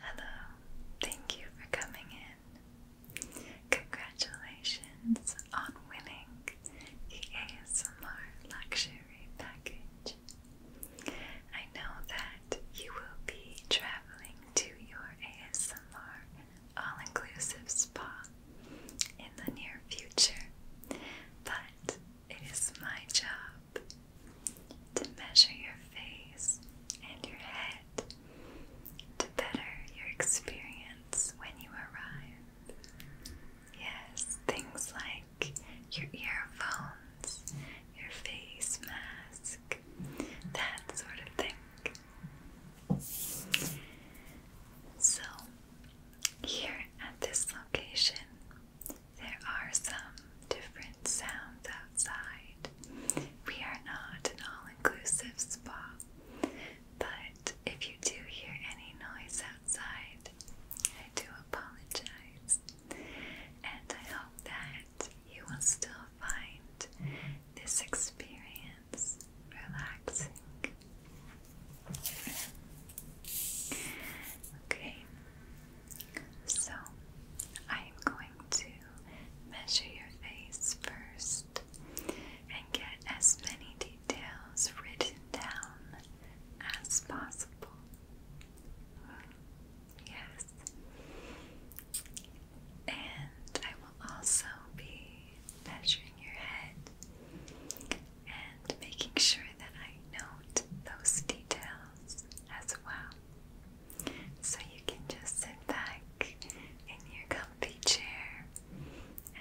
Hello, thank you for coming in. Congratulations on winning the ASMR Luxury Package. I know that you will be traveling to your ASMR all inclusive spa in the near future, but it is my job to measure your face and your head to better your experience when you arrive. Yes, things like your earphones, your face mask, that sort of thing. So, here at this location, there are some different sounds outside. We are not an all inclusive spa, but if you do hear any noise outside, I do apologize. And I hope that you will still find this experience relaxing. Okay, so I'm going to measure your face first and get as many details written down as possible. Yes. And I will also be measuring your head and making sure that I note those details as well. So you can just sit back in your comfy chair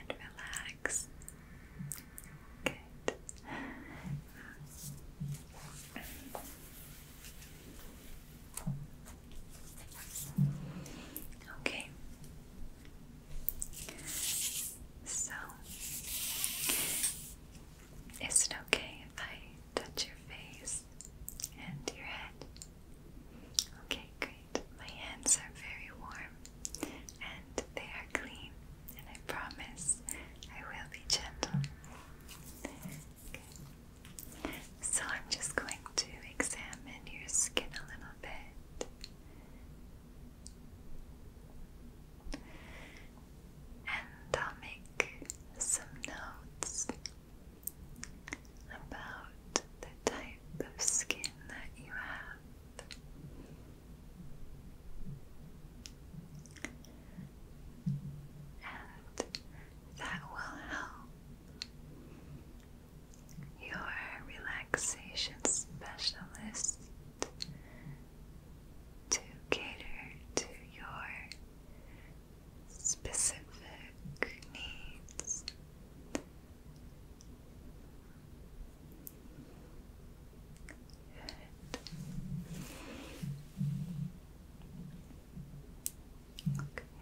and relax. Good. Okay. So is it okay if I touch your face and your head? Okay, great. My hands are very warm and they are clean, and I promise I will be gentle. So I'm just going to examine your skin a little bit and I'll make some notes about the type of skin that you have. And that will help your relaxation specialist to cater to your specific needs. Okay.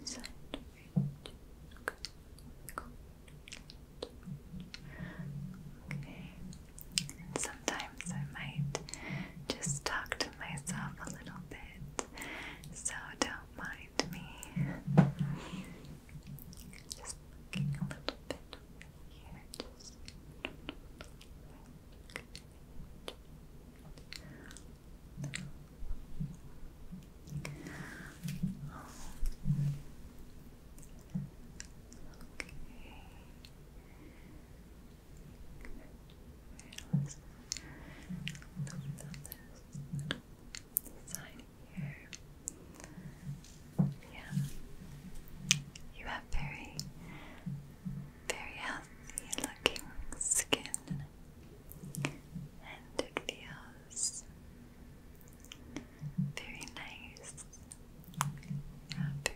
Just a little side range. Okay. And sometimes I might just talk to myself a little bit, so don't mind me. Just looking a little bit here, let's lift up here. Yeah, you have very, very healthy looking skin. And the very nice. Happy.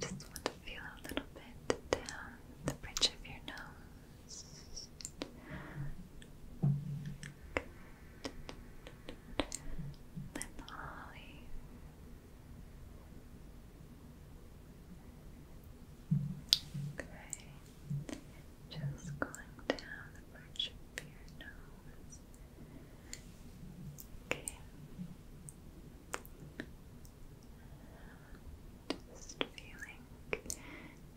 Just a little bit over Okay. Just want to feel a little bit down the bridge of your nose. Lip Ollie. Okay, just going down the bridge of your nose. Okay, just feeling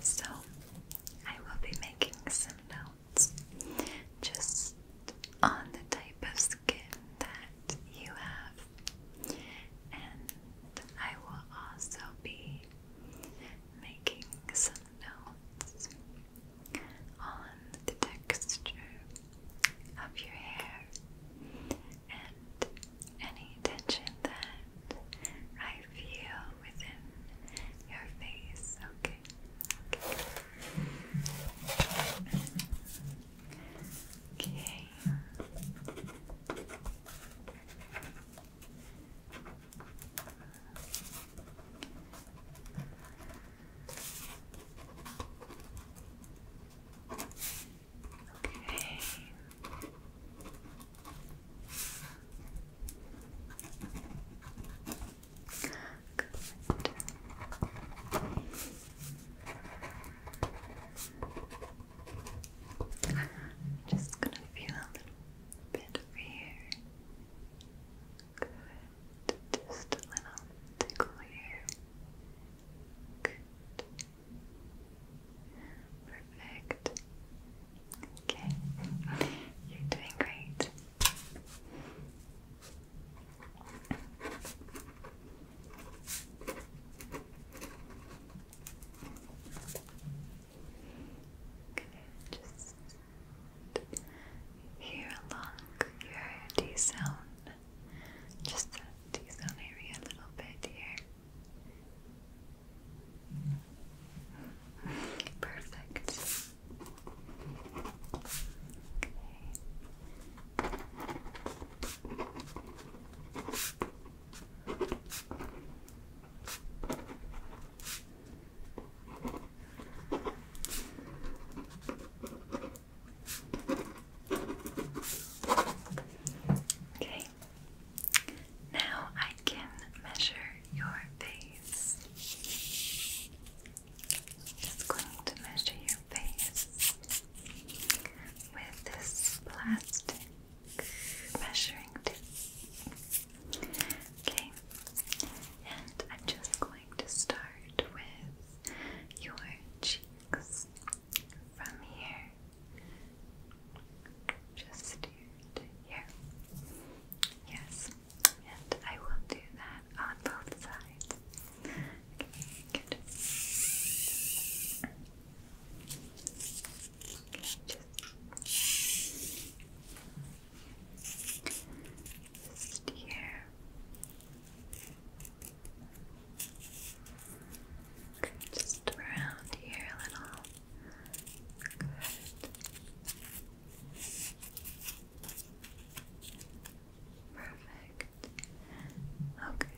So, I will be making some notes just on the type of skin that you have, and I will also be making some notes on the texture of your hair and any tension that I feel within your face. Okay. Okay. Okay. Good. Just gonna feel a little bit here. Good. Just a little tickle here. Perfect. Okay, you're doing great. just here along your D sound just the T-zone area a little bit here. Perfect. Okay. Okay, now I can measure your face. Just going to measure your face with this plastic measuring tape. Okay, and I'm just going to start with your cheeks from here just here Yes, and I will do that on both sides. Okay, good. Okay, just here. Just around here a little. Good. Perfect. Okay.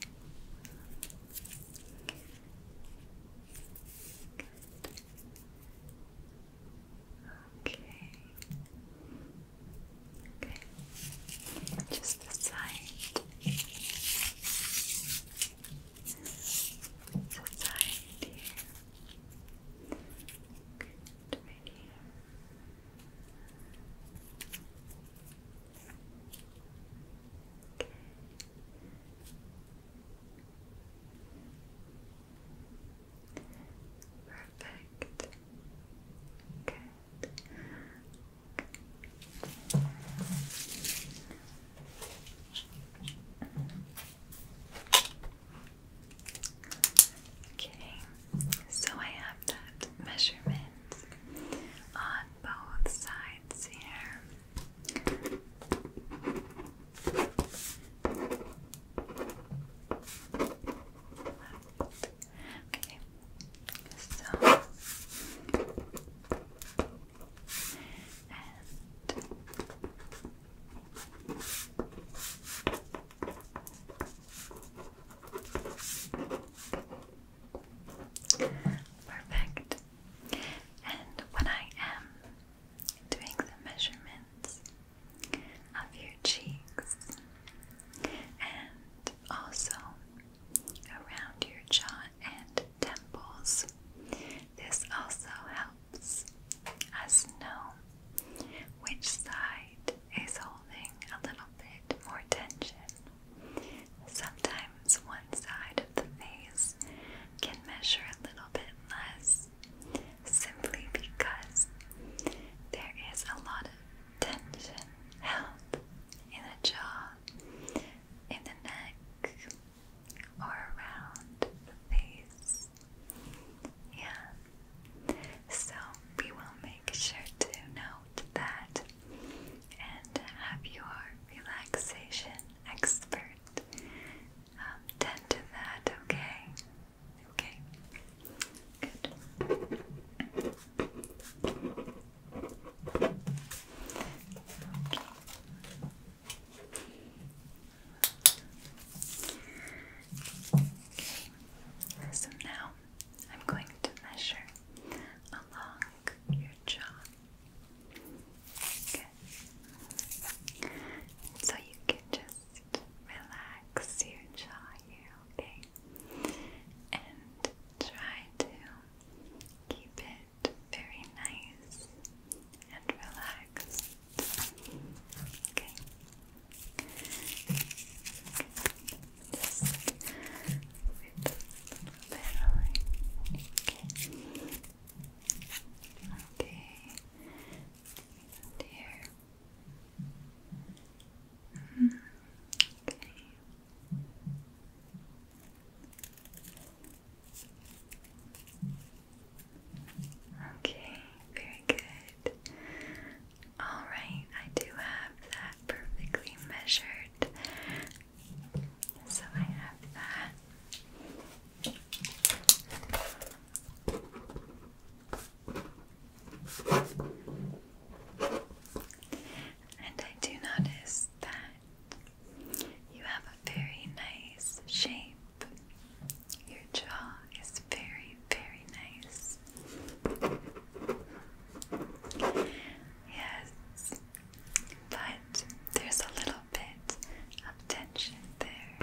Okay. Okay, just the side. The side here. Good, right here. Okay. Perfect. Good. Okay, so I have that measurement on both sides here. Okay, so perfect. And when I am doing the measurements of your cheeks, and also around your jaw and temples. This also helps us know which side is holding a little bit more tension. Sometimes one side of the face can measure a little bit less simply because there is a lot of tension held in the jaw, in the neck, or around the face. Yeah. So we will make sure to note that and have your relaxation expert um, tend to that, okay? Okay. Good. So now I'm going to measure along your jaw. So you can just relax your jaw here, okay? and try to keep it very nice and relaxed. Okay. Just a little bit okay. Okay, and okay. Okay, very good. All right, I do have that perfectly measured. So I have that. And I do notice that you have a very nice shape. Your jaw is very, very nice. Yes, but there's a little bit of tension there.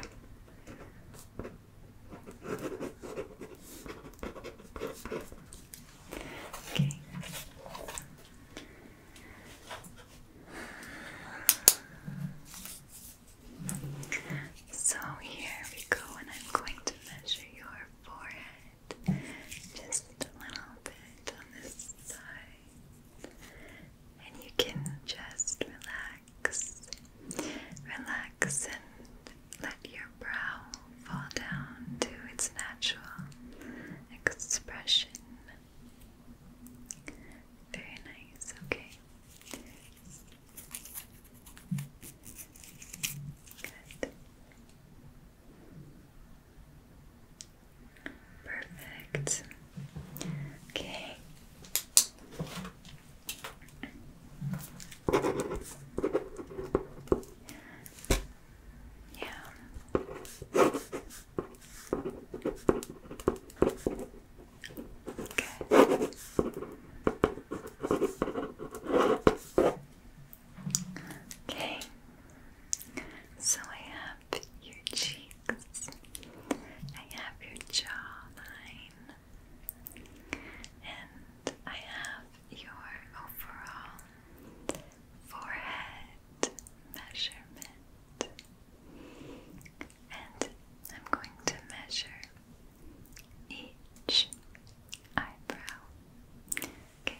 Okay. So here we go, and I'm going to measure your forehead just a little bit on this side, and you can just relax, relax, and let your brow fall down to its natural expression. Very nice, okay. Good. Perfect. Okay. Yeah. Good. Okay. So I have your cheeks. I have your jawline. And I have your overall forehead measurement. And I'm going to measure each eyebrow. Okay.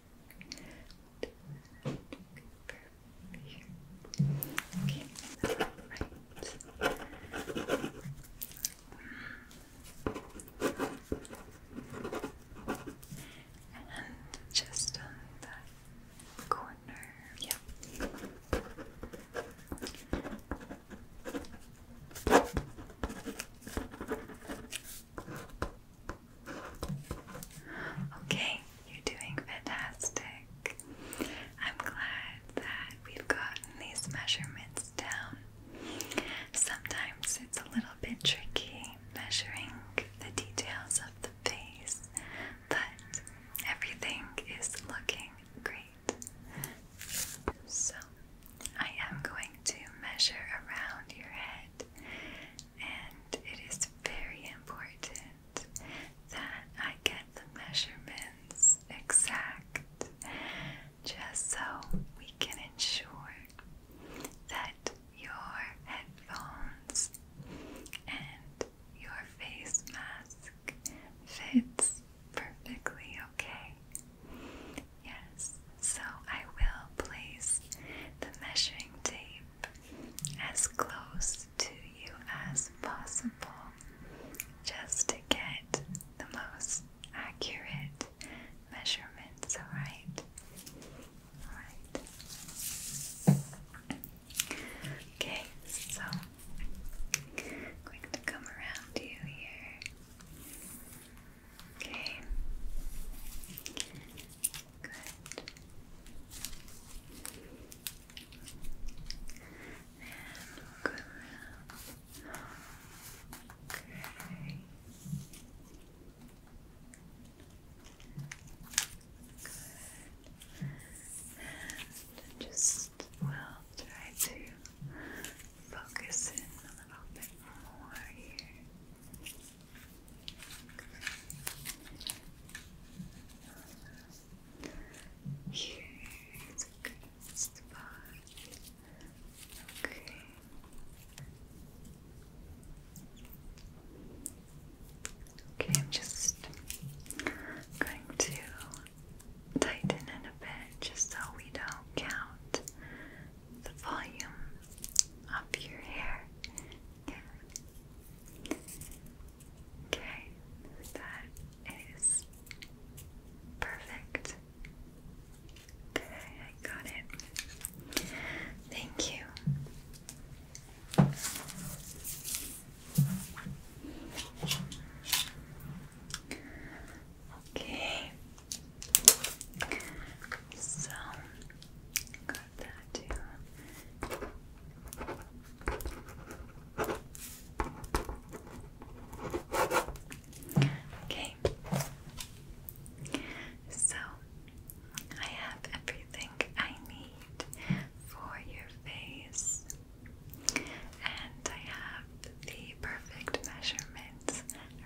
Okay, right. And just on that corner. Yeah. Okay, you're doing fantastic. I'm glad that we've gotten these measurements down. Sometimes it's a little bit tricky measuring the details of the face, but everything is looking great. So, I am going to measure around your head and it is very important that I get the measurements exact just so we can ensure that your headphones and your face mask fits perfectly okay. Yes, so I will place the measuring tape as close to you as possible just to get the most accurate measurements, alright? Alright. Okay, so going to come around you here. Okay. Good. And we Okay. Good. And just we'll try to focus in a little bit more here. Here is a good spot. Okay. Okay, I'm just going to tighten it a bit just so we don't count the volume of your hair. Yeah. Okay, that is perfect. Okay, I got it. Thank you. Okay, so Okay. So I have everything I need for your face, and I have the perfect measurements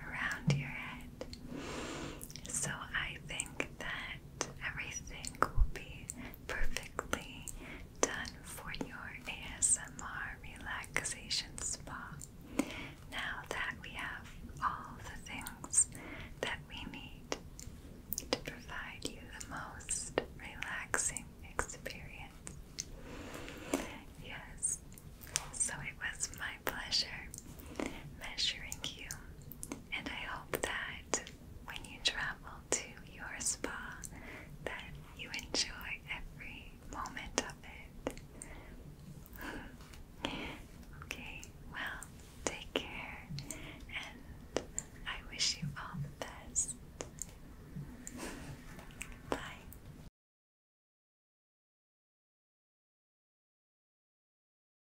around your head. So I think that everything will be perfectly done for your ASMR relaxation spa. Now that we have all the things that we need to provide you the most relaxing experience. Yes, so it was my pleasure measuring you and I hope that when you travel to your spa that you enjoy every moment of it. okay, well, take care and I wish you all the best. Bye.